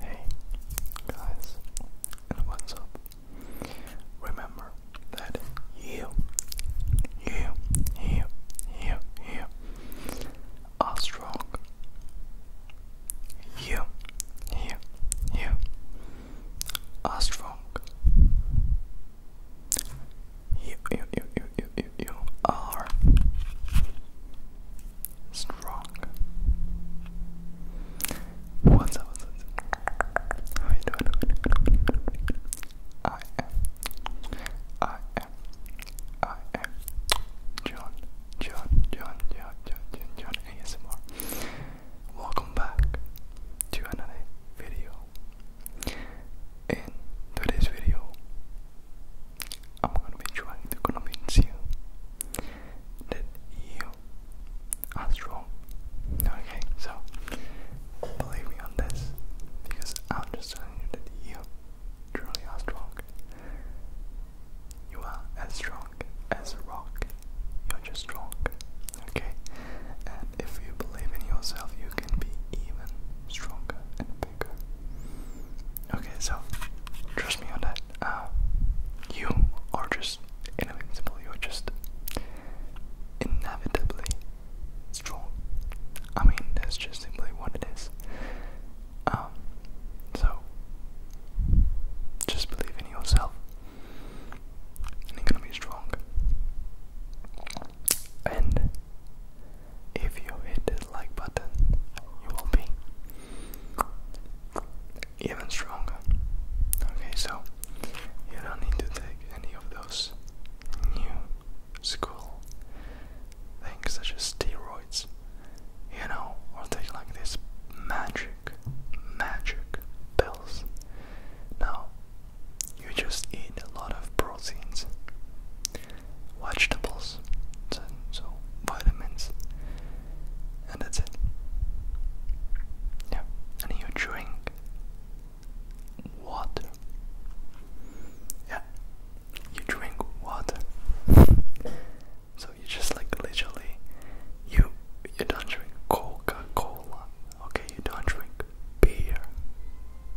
Hey guys, what's up? Remember that you, you, you, you, you are strong. You, you, you are strong. You, you, you, you, you, you are strong. What's up? What's How you doing? I am. I am. I am. John. John. John. John. John. John. ASMR. Welcome back to another video. In today's video, I'm going to be trying to convince you that you are strong. Okay, so believe me on this because I'm just telling you that you truly are strong. You are as strong as a rock. You're just strong. Okay? And if you believe in yourself, you can be even stronger Okay. so trust me on that. Uh, you are just invincible. You are just inevitably strong. I mean, that's just simply what it is. Um, so just believe in yourself, and you're gonna be strong. And if you hit the like button, you will be even stronger. Okay, so you don't need to take any of those new school things such as steroids, you know, or things like this magic, magic pills. Now, you just eat a lot of proteins, vegetables, and so vitamins, and that's it. Yeah, and you drink water. Yeah, you drink water. So you just like literally, you you don't drink Coca Cola. Okay, you don't drink beer,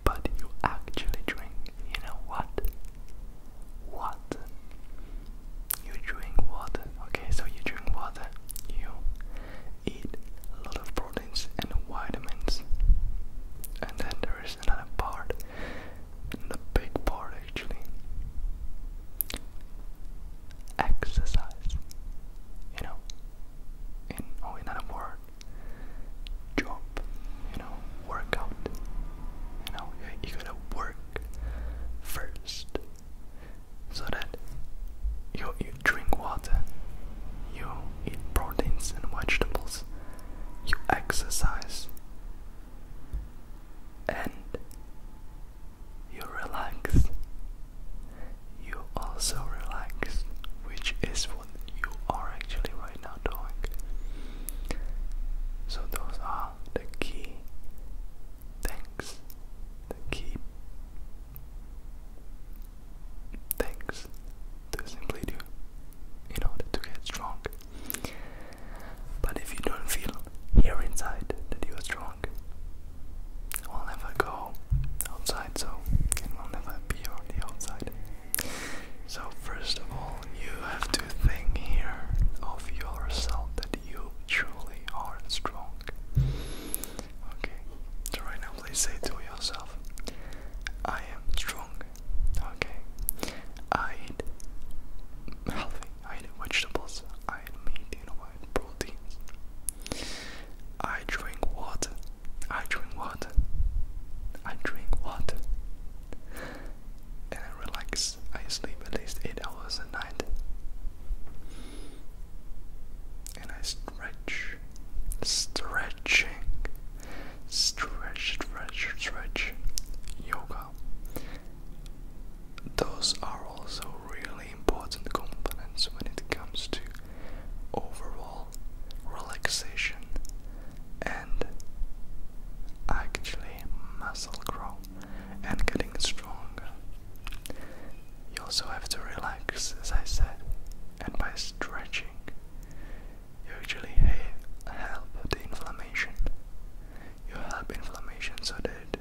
but you actually drink, you know what? What? You drink water, okay? So you drink water, you eat a lot of proteins and vitamins. And then there is another part, the big part actually exercise. You know, in another oh, word, job, you know, workout. You know, you gotta work first so that you, you drink water, you eat proteins and vegetables, you exercise, and you relax you also relax, which is what you are actually right now doing. So, those are the key things, the key things to simply do in order to get strong. But if you don't feel here inside that you are strong, will never go outside, so it will never be on the outside. So, first of all, you have to think here of yourself that you truly are strong. Okay, so now, please say to yourself, I am strong. Okay, I eat healthy, I eat vegetables, I eat meat, you know, proteins. I drink water. I drink water. I drink water. And I relax. I sleep at least 8 hours a night. And I stretch. Stretching. Stretch, stretch, stretch. Yoga. Those are also really important components when it comes to overall relaxation and actually muscle grow and getting stronger. You also have to relax, as I said, and by stretching, usually help the inflammation. You help inflammation so that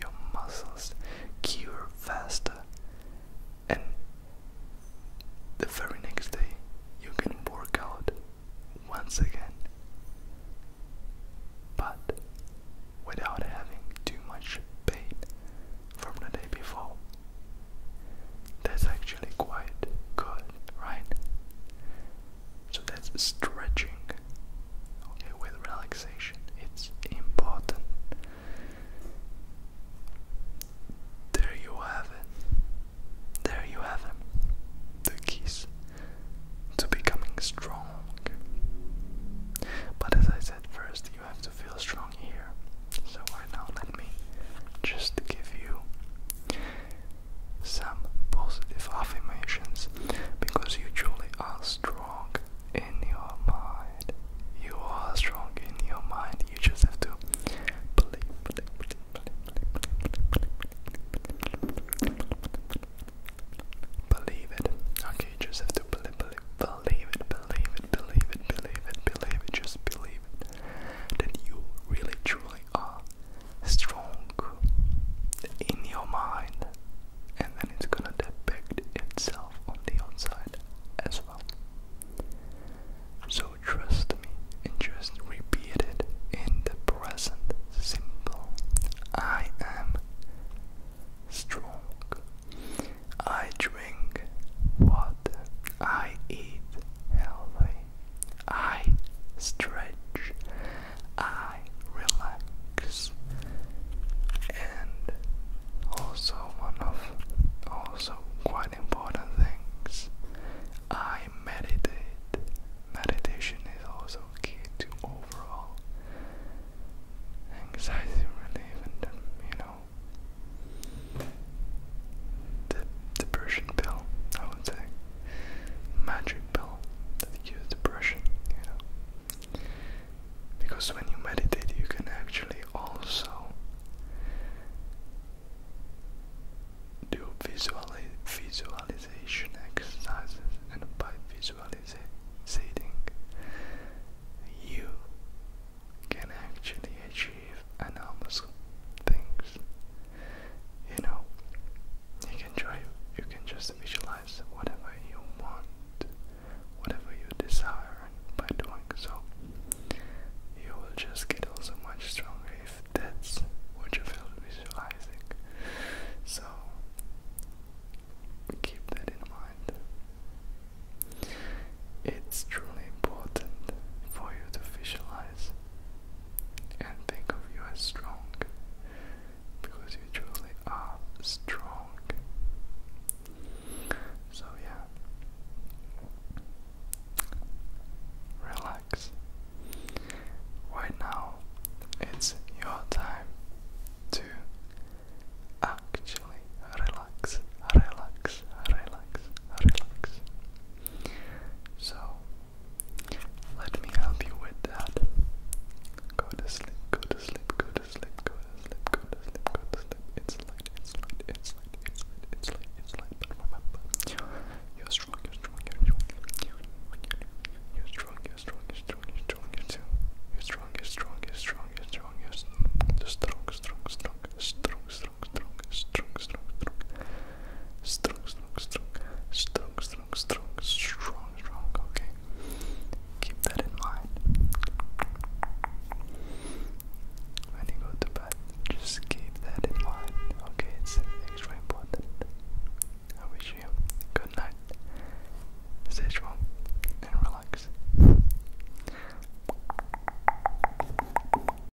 your muscles cure faster, and the very next day you can work out once again, but without having too much pain from the day before. That's actually quite good, right? So that's stretching okay, with relaxation. It's important. There you have it. There you have it. The keys to becoming strong. But as I said first, you have to feel strong here. So right now, let me just give you some positive affirmations because you truly are strong strong in your mind. You are strong in your mind. You just have to believe, believe, believe, it. Okay, you just have to believe, believe, believe it, believe it, believe it, believe it, believe it. Just believe it that you really, truly are strong in your mind and then it's gonna depict itself on the outside as well. So trust me just repeat it in the present simple. I am strong. I drink water. I eat healthy. I stretch. I relax. And also one of also quite important things, I meditate. Meditation is also key to overall anxiety relief and um, you know the depression pill I would say magic pill that you're depression, you know. Because when you meditate, you can actually also do visualization exercises, and by visualizing, you can actually achieve enormous things you know, you can try, you can just visualize whatever you want, whatever you desire by doing so. You will just get also much stronger if that's what you feel visualizing. So keep that in mind. It's truly important for you to visualize and think of you as strong because you truly are strong. So, yeah, relax. Right now, it's your time to actually relax, relax, relax, relax. So, let me help you with that. Go to sleep, go to sleep, go to sleep, go to sleep, go to sleep, go to sleep. It's light, it's light, it's light, it's light, it's light, it's light. But remember, you're strong, you're strong, you're strong. You're strong, you're strong, you're strong, you're strong, you're strong. You're strong, you're strong, you're strong, you're strong, you're strong, strong, strong, strong, strong, strong, strong, strong, strong, strong, strong, strong, strong, strong, strong, strong. Okay, keep that in mind. When you go to bed, just keep that in mind. Okay, it's extra important. I wish you good night. Stay and relax.